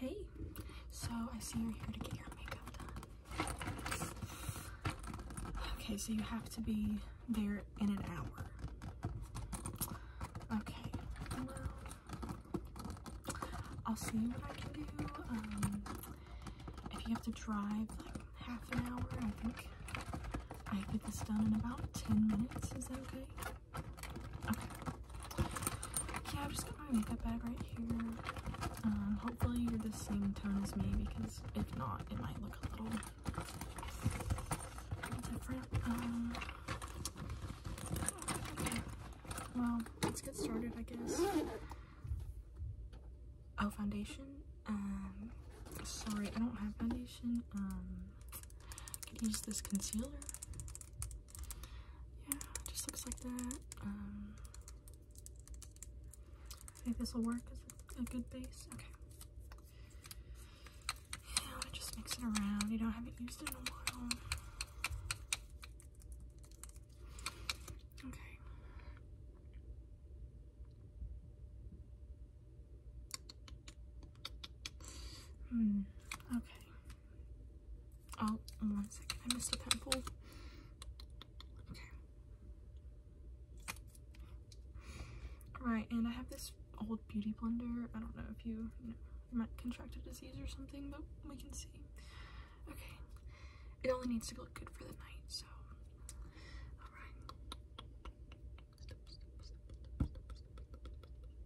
Hey, so I see you're here to get your makeup done. Okay, so you have to be there in an hour. Okay, well, I'll see what I can do. Um, if you have to drive like half an hour, I think I could get this done in about 10 minutes. Is that okay? Okay. Yeah, I've just got my makeup bag right here. Um, hopefully you're the same tone as me because if not, it might look a little different. Uh, okay. Well, let's get started, I guess. Oh, foundation. Um, sorry, I don't have foundation. Um, I can use this concealer yeah, it just looks like that. Um, I think this will work as a, good base. Okay. Yeah, just mix around. You know, I haven't used in a while. Okay. Hmm. Okay. Oh, one second, I missed a pimple. Okay. Alright, and I have this old beauty blender. I don't know if you, might contract a disease or something, but we can see. Okay. It only needs to look good for the night, so. Alright.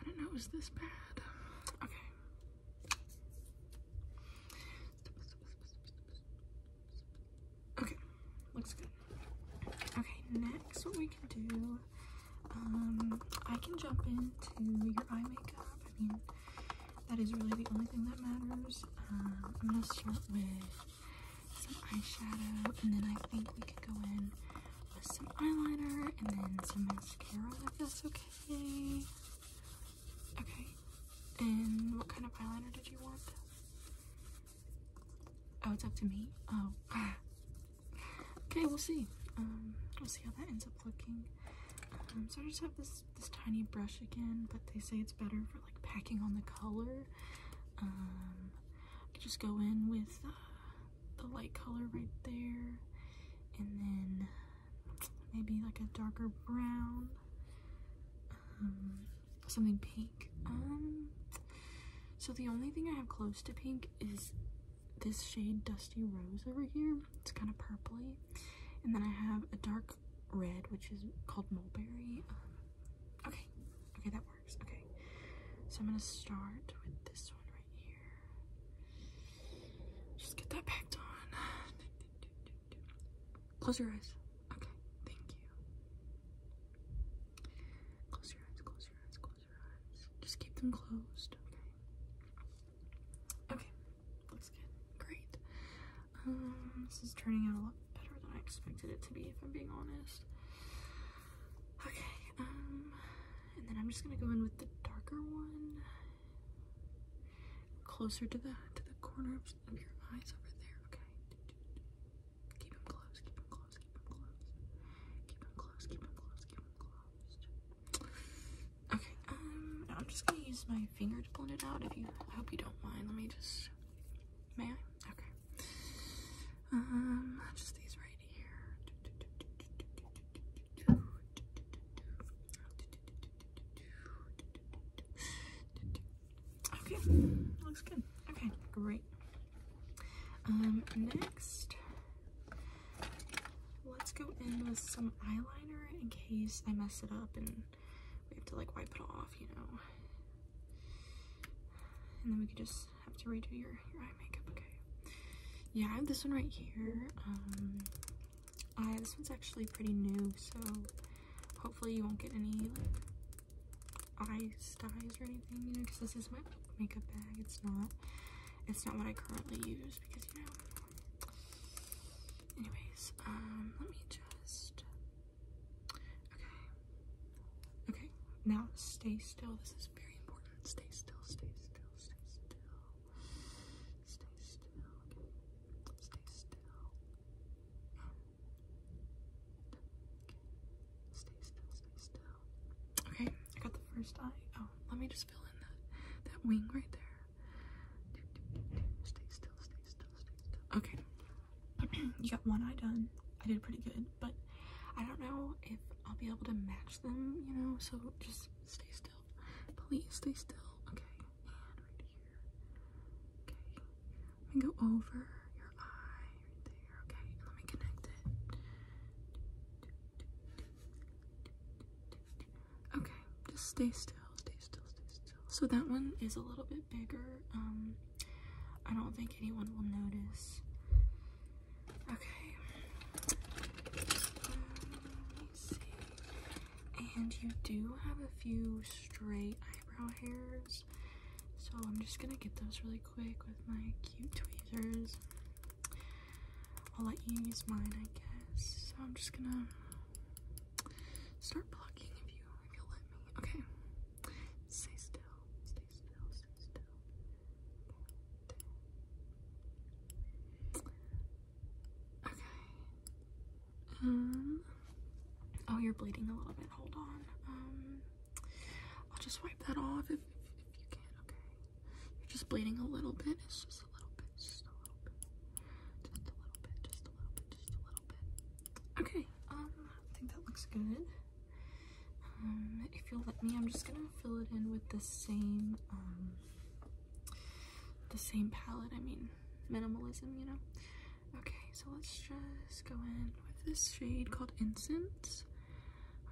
I didn't know it was this bad. Okay. Okay, looks good. Okay, next what we can do, um, I can jump into your eye makeup. I mean, that is really the only thing that matters. Um, I'm gonna start with some eyeshadow, and then I think we could go in some eyeliner and then some mascara if that's okay. Okay. And what kind of eyeliner did you want? Oh, it's up to me? Oh. okay, we'll see. Um, we'll see how that ends up looking. Um, so I just have this, this tiny brush again, but they say it's better for like packing on the color. Um, I could just go in with uh, the light color right there and then maybe like a darker brown um, something pink um so the only thing I have close to pink is this shade dusty rose over here it's kind of purply. and then I have a dark red which is called mulberry um, okay okay that works Okay, so I'm gonna start with this one right here. Just get that packed on. Close your eyes. Okay, thank you. Close your eyes, close your eyes, close your eyes. Just keep them closed. Okay. Okay, looks good. Great. Um, this is turning out a lot better than I expected it to be, if I'm being honest. Okay, um, and then I'm just gonna go in with the darker one closer to the to the corner of your eyes over there. Okay. Keep them close, keep them close, keep them close. Keep them close, keep them close, keep them closed. Okay, um I'm just gonna use my finger to blend it out if you I hope you don't mind. Let me just May I? Okay. Um just these right Okay, looks good. Okay, great. Um, next, let's go in with some eyeliner in case I mess it up and we have to like wipe it off, you know. And then we could just have to redo your, your eye makeup, okay? Yeah, I have this one right here. Um, I, this one's actually pretty new, so hopefully you won't get any, like, eye styes or anything, you know, because this is my makeup bag. It's not, it's not what I currently use because, you know, anyways, um, let me just, okay, okay, now stay still. This is is very important. Stay still, stay still, stay still. Stay still, okay? Stay still. And, okay. Stay still, stay still. Okay, I got the first eye. Oh, let me just fill in that, that wing right there. Stay still, stay still, stay still. Okay. you got one eye done. I did pretty good, but I don't know if I'll be able to match them, you know, so just stay still. Please stay still. Okay, right here. Okay. Let me go over your eye right there. Okay, let me connect it. Okay, just stay still, stay still, stay still. So that one is a little bit bigger. Um I don't think anyone will notice. Okay. Um, let me see. And you do have a few straight eyebrow hairs. So I'm just gonna get those really quick with my cute tweezers. I'll let you use mine, I guess. So I'm just gonna start plucking if you if you let me. Okay. Stay still. Stay still. Stay still. Okay. Um. Oh, you're bleeding a little bit. Hold on. Um. I'll just wipe that off if, if, you can. Okay. You're just bleeding a little bit. It's just a little bit. Just a little bit. Just a little bit. Just a little bit. Just a little bit. Okay. Um. I think that looks good. Um, if you'll let me, I'm just gonna fill it in with the same, um, the same palette. I mean, minimalism, you know. Okay, so let's just go in with this shade called Incense.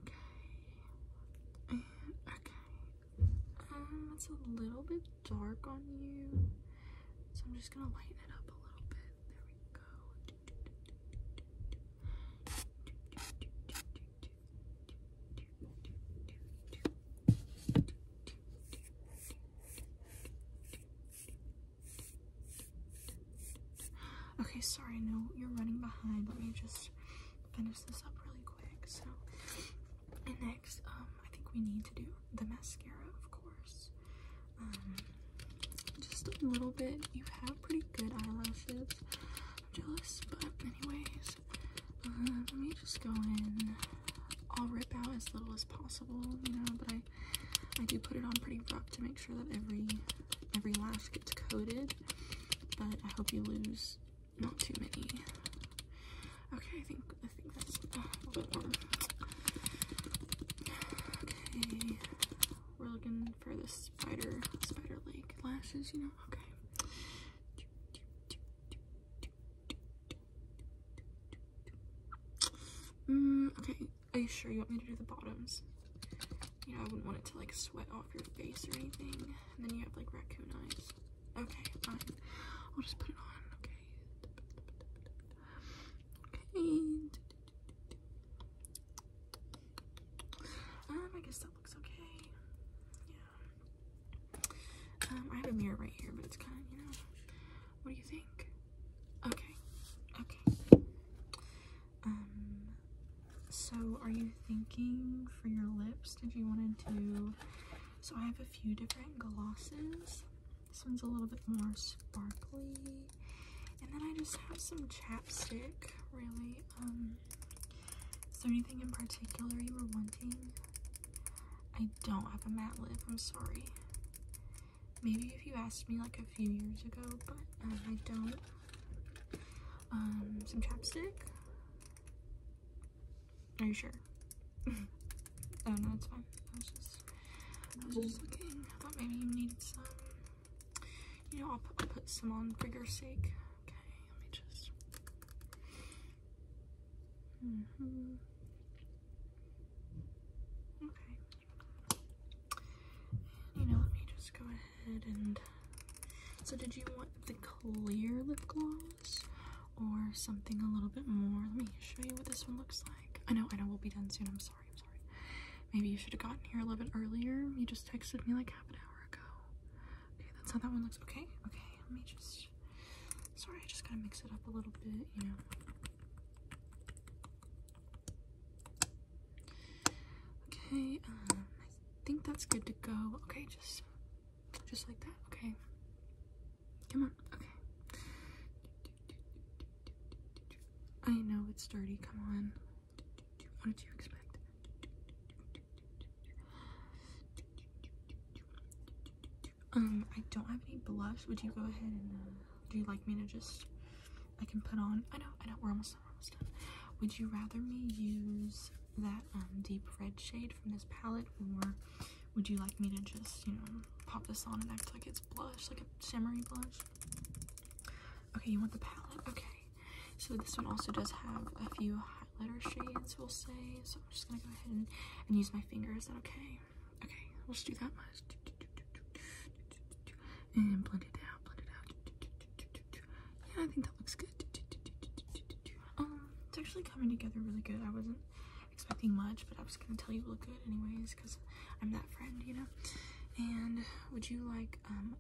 Okay, and okay, um, it's a little bit dark on you, so I'm just gonna lighten it up a little bit. There we go. Okay, sorry, no, you're running behind. Let me just finish this up really quick. So, next, um, I think we need to do the mascara, of course. Um, just a little bit. You have pretty good eyelashes jealous, but anyways, uh, let me just go in. I'll rip out as little as possible, you know, but I I do put it on pretty rough to make sure that every every lash gets coated, but I hope you lose not too many. Okay, I think I think that's uh, a bit more. Okay, we're looking for the spider, spider like lashes, you know? Okay. Mm, okay, are you sure you want me to do the bottoms? You know, I wouldn't want it to like sweat off your face or anything. And then you have like raccoon eyes. Okay, fine. I'll just put it on. Okay. Um, I guess that looks okay. Yeah. Um, I have a mirror right here, but it's kind of, you know, what do you think? Okay. Okay. Um, so are you thinking for your lips, did you want to so I have a few different glosses. This one's a little bit more sparkly. And then I just have some chapstick, really. Um, is there anything in particular you were wanting? I don't have a mat lip, I'm sorry. Maybe if you asked me like a few years ago, but um, I don't. Um, some chapstick? Are you sure? oh no, that's fine. I was just, I was just looking. I thought maybe you needed some. You know, I'll put, some on for your sake. Okay, let me just. Mm-hmm. Okay. you know, let me just go ahead and. So, did you want the clear lip gloss or something a little bit more? Let me show you what this one looks like. I know, I know, we'll be done soon. I'm sorry. Maybe you should have gotten here a little bit earlier. You just texted me like half an hour ago. Okay, that's how that one looks. Okay, okay, let me just. Sorry, I just gotta mix it up a little bit, you know. Okay, um, think that's good to go. Okay, just, just like that. Okay, come on. Okay. I know it's dirty. Come on. What did you expect? Um, I don't have any blush. Would you go ahead and uh, do you like me to just I can put on? I know, I know. We're almost done. almost done. Would you rather me use that um, deep red shade from this palette, or would you like me to just you know pop this on and act like it's blush, like a shimmery blush? Okay, you want the palette? Okay. So this one also does have a few highlighter shades, we'll say. So I'm just gonna go ahead and, use my fingers. Is okay? Okay, Let's do that much. And blend it out, blend it out. Yeah, I think that looks good. Um, it's actually coming together really good. I wasn't expecting much, but I was gonna tell you look good anyways, because I'm that friend, you know? And would you like um,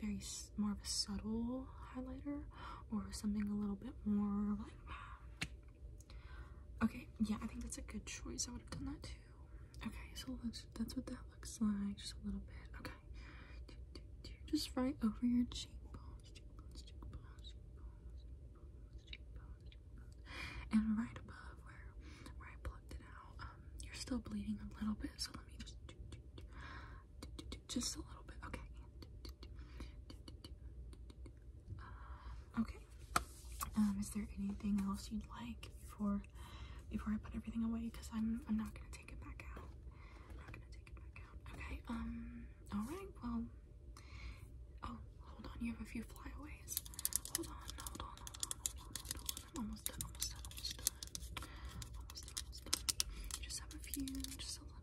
very more of a subtle highlighter or something a little bit more like okay yeah i think that's a good choice i would have done that too okay so let that's what that looks like just a little bit okay just right over your cheekbones and right above where where i plucked it out um, you're still bleeding a little bit so just a little bit. Okay. Uh, okay. Um, is there anything else you'd like before before I put everything away? Because I'm I'm not gonna take it back out. I'm not gonna take it back out. Okay. Um. All right. Well. Oh, hold on. You have a few flyaways. Hold on. Hold on. Hold on. Hold on. Hold on. I'm almost done, almost done, almost done. Almost done, almost done. You just have a few, just a little, a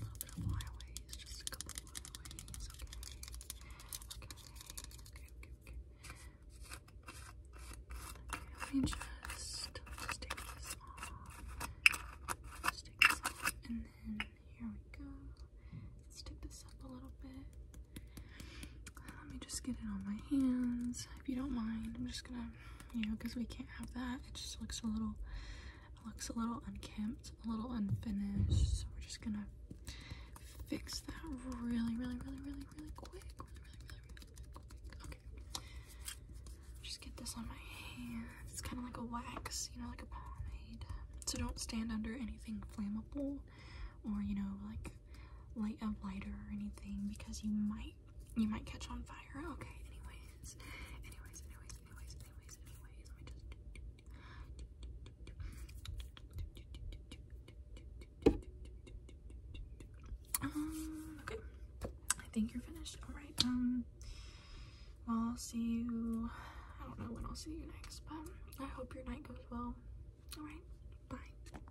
little bit of flyaways, just a couple of flyaways, okay. Okay, okay, okay, okay. Let me just, uh, just take this off. Just take this off, and then here we go. Let's tip this up a little bit. Let me just get it on my hands, if you don't mind. I'm just gonna, you know, because we can't have that. It just looks a little, looks a little unkempt, a little unfinished. So we're just gonna fix that really, really, really, really, really quick. Okay. Just get this on my hand. It's kind of like a wax, you know, like a pomade. So don't stand under anything flammable or, you know, like light a lighter or anything because you might you might catch on fire. Okay, anyways. Anyways, anyways, anyways, anyways, anyways. Let me just okay. I think you're finished. Alright, um well I'll see you I don't know when I'll see you next, but I hope your night goes well. Alright, bye.